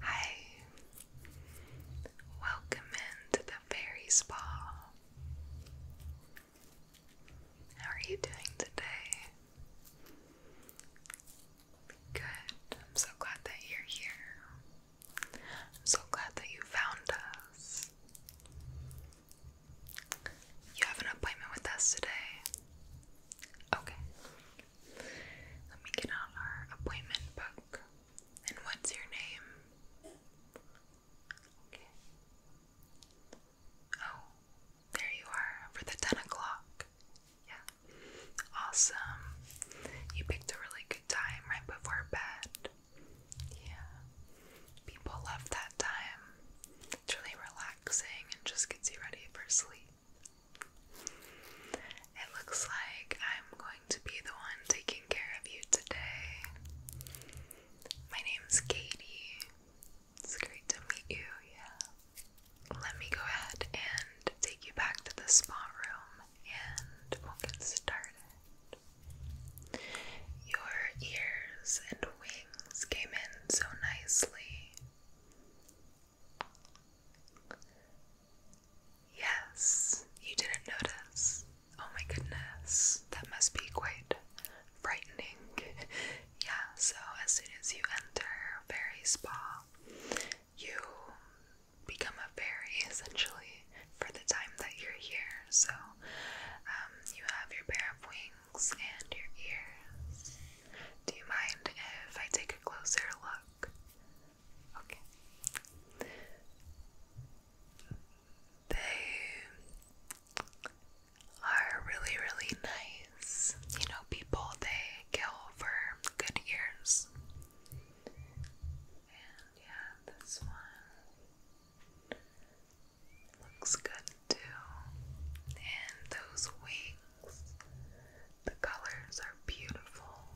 Hi, welcome into the fairy spa. How are you doing today? Good. I'm so glad that you're here. I'm so glad that you found us. You have an appointment with us today. Okay. Let me get out our appointment book. And what's your name? Okay. Oh, there you are for the 10 o'clock. Yeah. Awesome. You picked a really good time right before bed. Yeah. People love that time. It's really relaxing and just gets you ready for sleep. It looks like I'm going to be the one taking care of you today. My name's Katie. It's great to meet you, yeah. Let me go ahead and take you back to the spa room and we'll get started. Your ears and wings came in so nicely. Yes, you didn't notice. Oh my goodness, that must be quite frightening. yeah, so as soon as you enter Fairy Spa, you become a fairy essentially for the time that you're here. So um, you have your pair of wings and your ears. Do you mind if I take a closer look? Okay. They are really, really nice. You know, people they kill for good ears. And yeah, this one. Looks good too. And those wings, the colors are beautiful.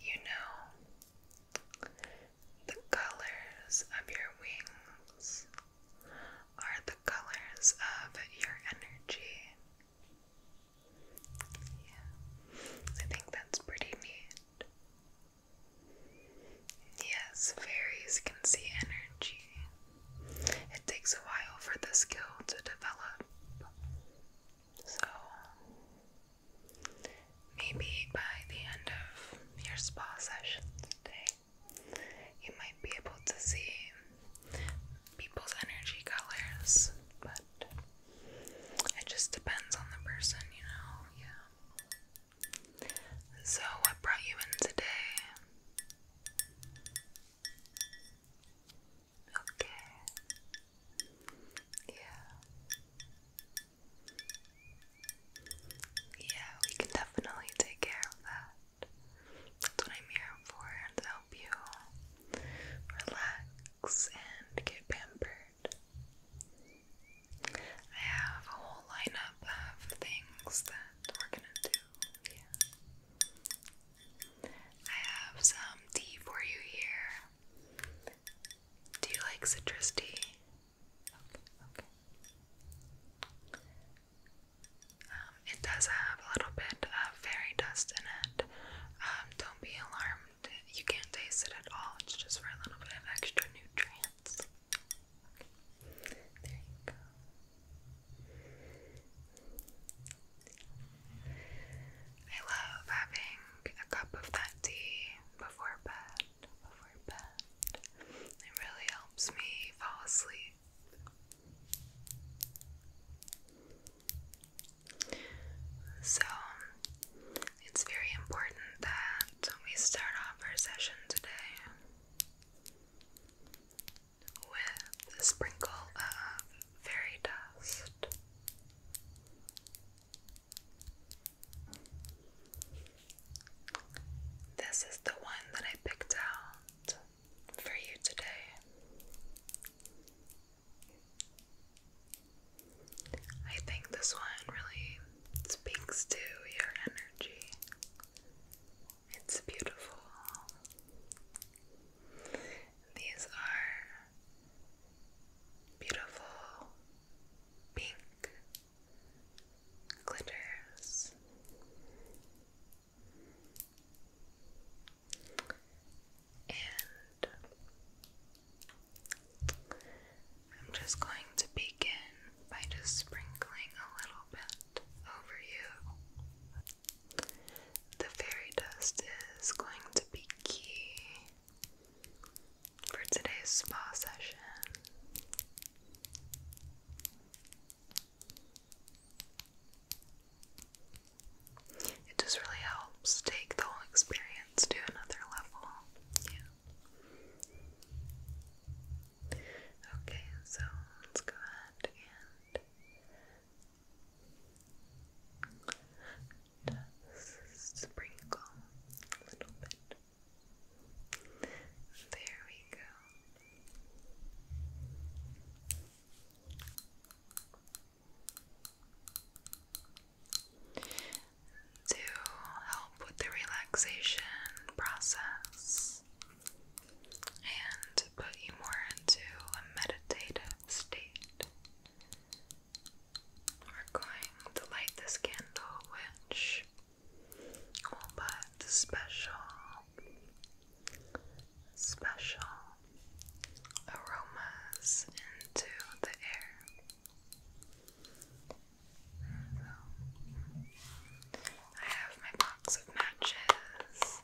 You know, the colors of your wings are the colors of your energy. Yeah, I think that's pretty neat. Yes, fairies can see energy. It takes a while for the skill to develop. So, maybe by the end of your spa session today, you might be able to see people's energy colors, but it just depends on the person, you know, yeah. So, what brought you in today? Okay. Yeah. Yeah, we can definitely take care of that. That's what I'm here for, and help you relax, and get pampered. I have a whole lineup of things that we're gonna do. I have some tea for you here. Do you like citrus tea? Okay, um, it does have a little bit of fairy dust in it. Um, don't be alarmed, you can't taste it at all, it's just for a little bit of extra nutrients. I love having a cup of that tea before bed. Before bed. It really helps me fall asleep. So it's very important that we start off our session today with a sprinkle of fairy dust. This is the one that I picked out for you today. I think this one really speaks to your energy. It's beautiful. These are beautiful pink glitters and I'm just going to begin by just sprinkling a little bit over you. The fairy dust is going to be key for today's spa session. It just really helps take the whole experience to another level. Yeah. Okay, so let's go ahead and sprinkle a little bit. There we go to help with the relaxation process and put you more into a meditative state. We're going to light this candle, which will put special, special aromas into the air. I have my box of matches.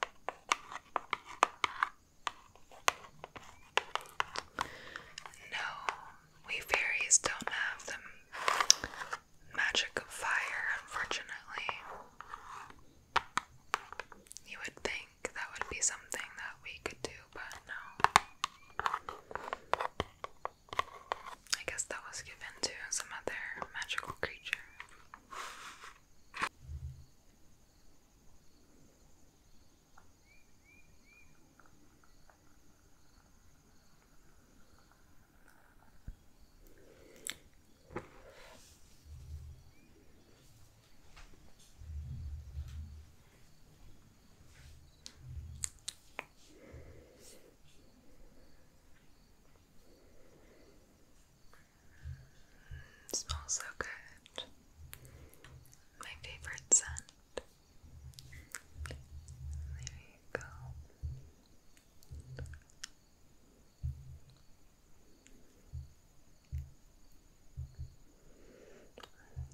No, we fairies don't have the magic of fire, unfortunately. You would think that would be something that we could do, but no. I guess that was given to some other magical creature smells so good. My favorite scent. There you go.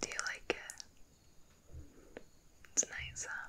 Do you like it? It's nice, huh?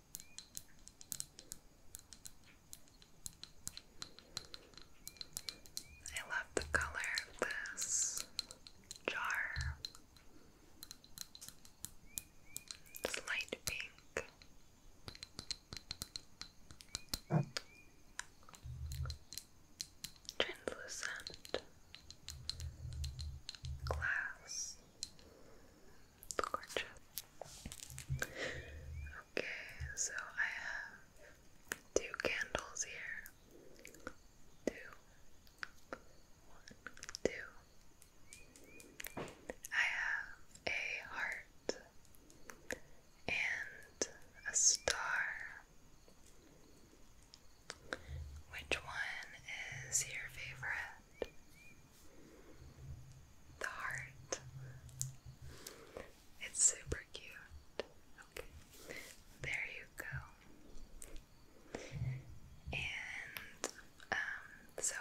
I love the color of this jar. It's light pink. Translucent glass Gorgeous. Okay, so I have two candles here. Two. I have a heart and a star. Which one is your favorite? the heart. It's super cute. there you go. And um, so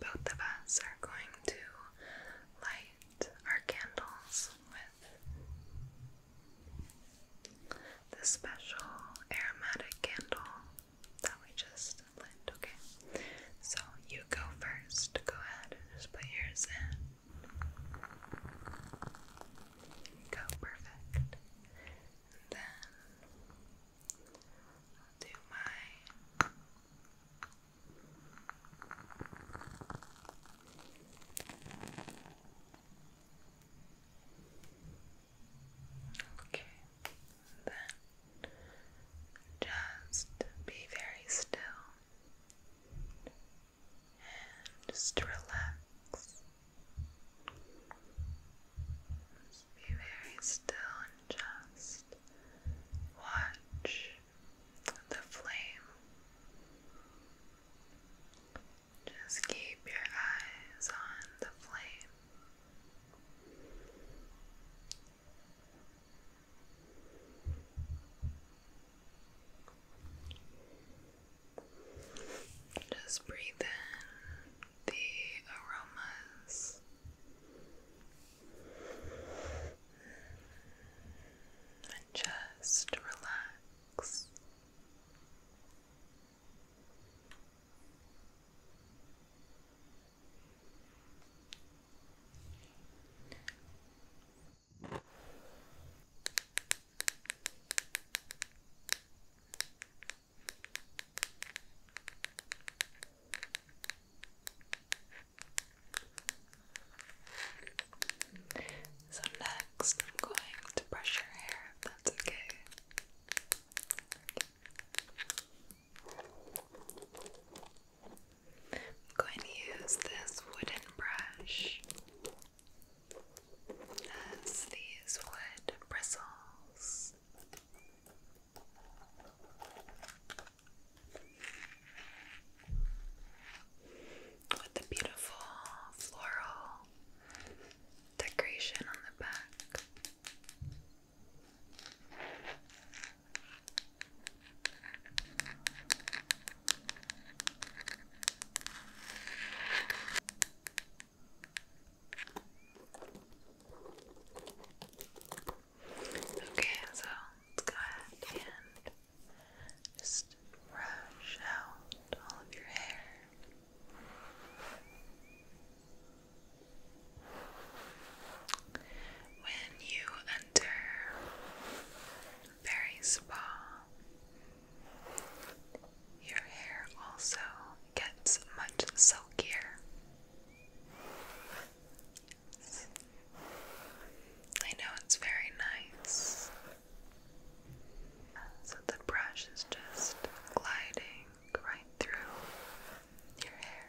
both of us are going to light our candles with the special aromatic candle that we just lit, okay? So you go first. Go ahead just put yours in. Go, perfect. then I'll do mine. Okay then just be very still and just relax. be very still and just watch the flame. Just keep your eyes on the flame. Just breathe in the aromas. And just relax. So, next, I'm going to brush your hair that's okay. I'm going to use this wooden brush as these wood bristles. With the beautiful floral decoration on the back. Okay, so go ahead and just brush out all of your hair. When you enter very Spa, your hair also gets much silkier. I know it's very nice. So the brush is just gliding right through your hair.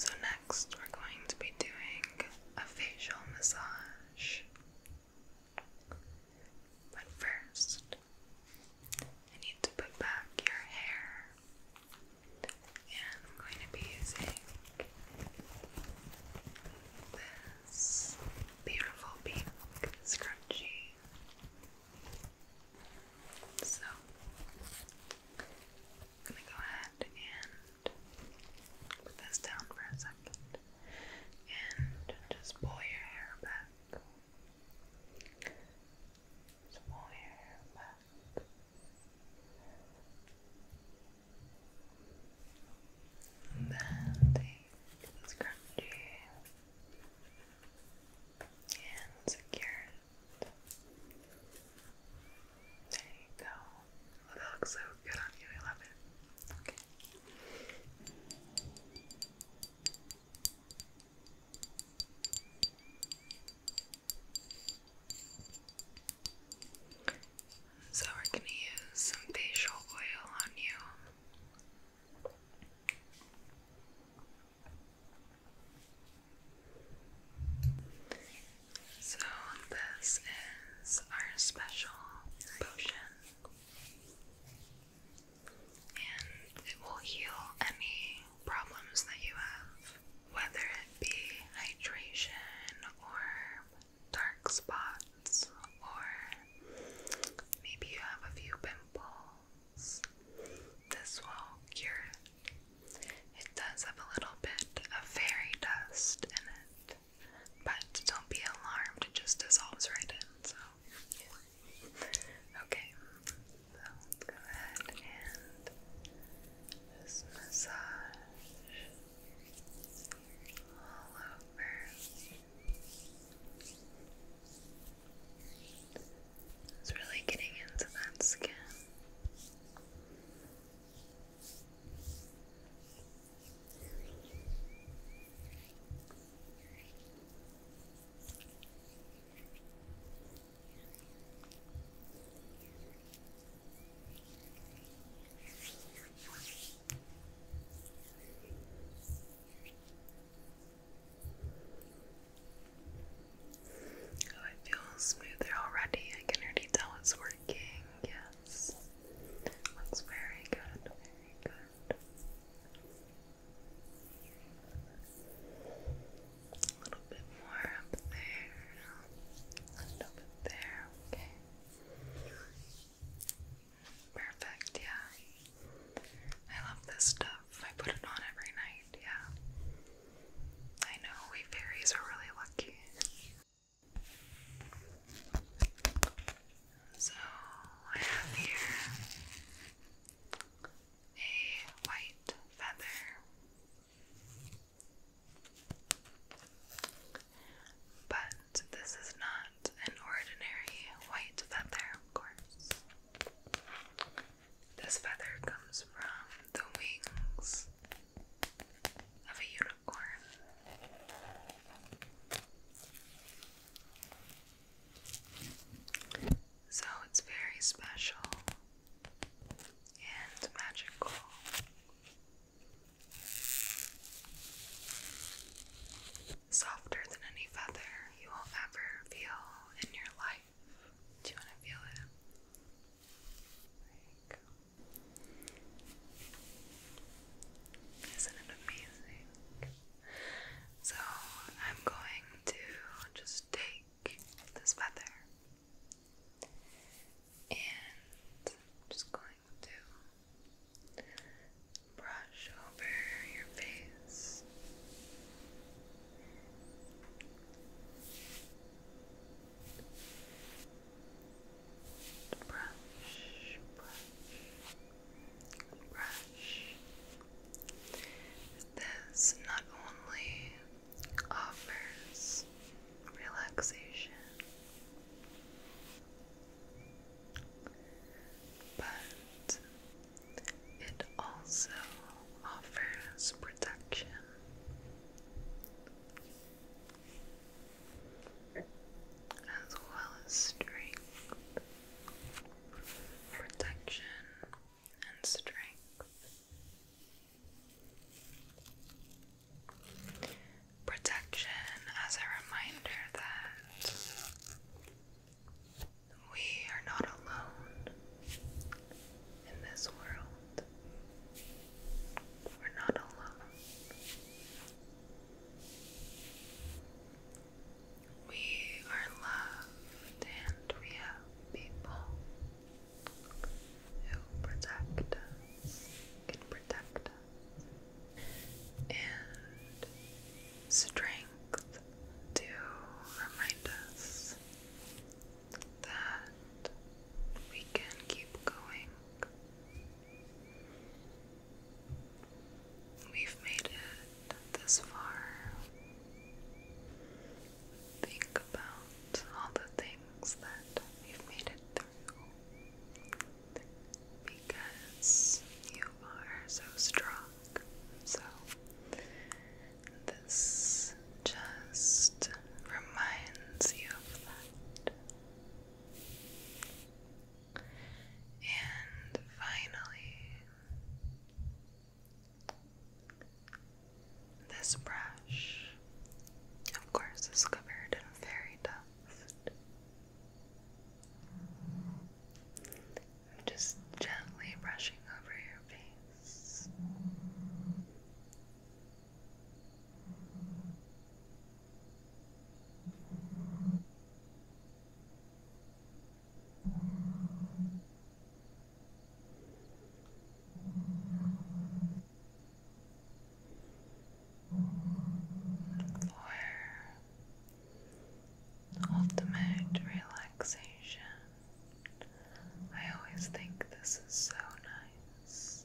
So, next, we're going to be doing a facial massage. But first, I need to put back your hair and I'm going to be using this beautiful pink scrunchie. So, I'm going to go ahead and put this down for a second and just pull your hair back. pull your hair back. And then and secure There you go. that looks so good on you. I love it. Okay. So, we're going to use some facial oil on you. So, this is our special potion, and it will heal any problems that you have, whether it be hydration or dark spots, or maybe you have a few pimples. This will cure it. does have a little bit of fairy dust in it, but don't be alarmed, it just dissolves right in. So, okay, so let's go ahead and just massage all over. It's really getting into that skin. Oh, it feels smoother already. I can already tell it's working. Yes. Looks very good. Very good. A little bit more up there. A little there, okay. Perfect, yeah. I love this stuff. I put it on every night, yeah. I know, we fairies are really lucky. So, I have here a white feather. But this is not an ordinary white feather, of course. This feather comes from the wings of a unicorn. So it's very special and magical. Softer than any feather you will ever feel in your life. Do you want to feel it? not it amazing? So, I'm going to just take this feather and i just going to brush over your face. Brush, brush, brush. This not only offers relaxation, but it also offers protection. As well as strength, protection, and strength. Protection as a reminder that we are not alone in this world. We're not alone. We are loved and we have people who protect can protect and strength to remind us that we can keep going. We've made it this far think about all the things that you've made it through because you are so strong. So, this just reminds you of that. And finally, this brush, of course, is covered in fairy dust. I'm just gently brushing over your face for ultimate relaxation. I always think this is so nice.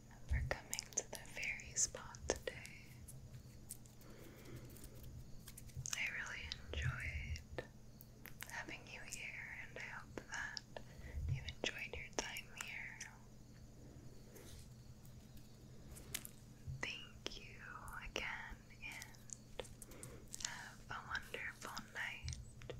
for coming to the fairy spot today. I really enjoyed having you here, and I hope that you enjoyed your time here. Thank you again, and have a wonderful night.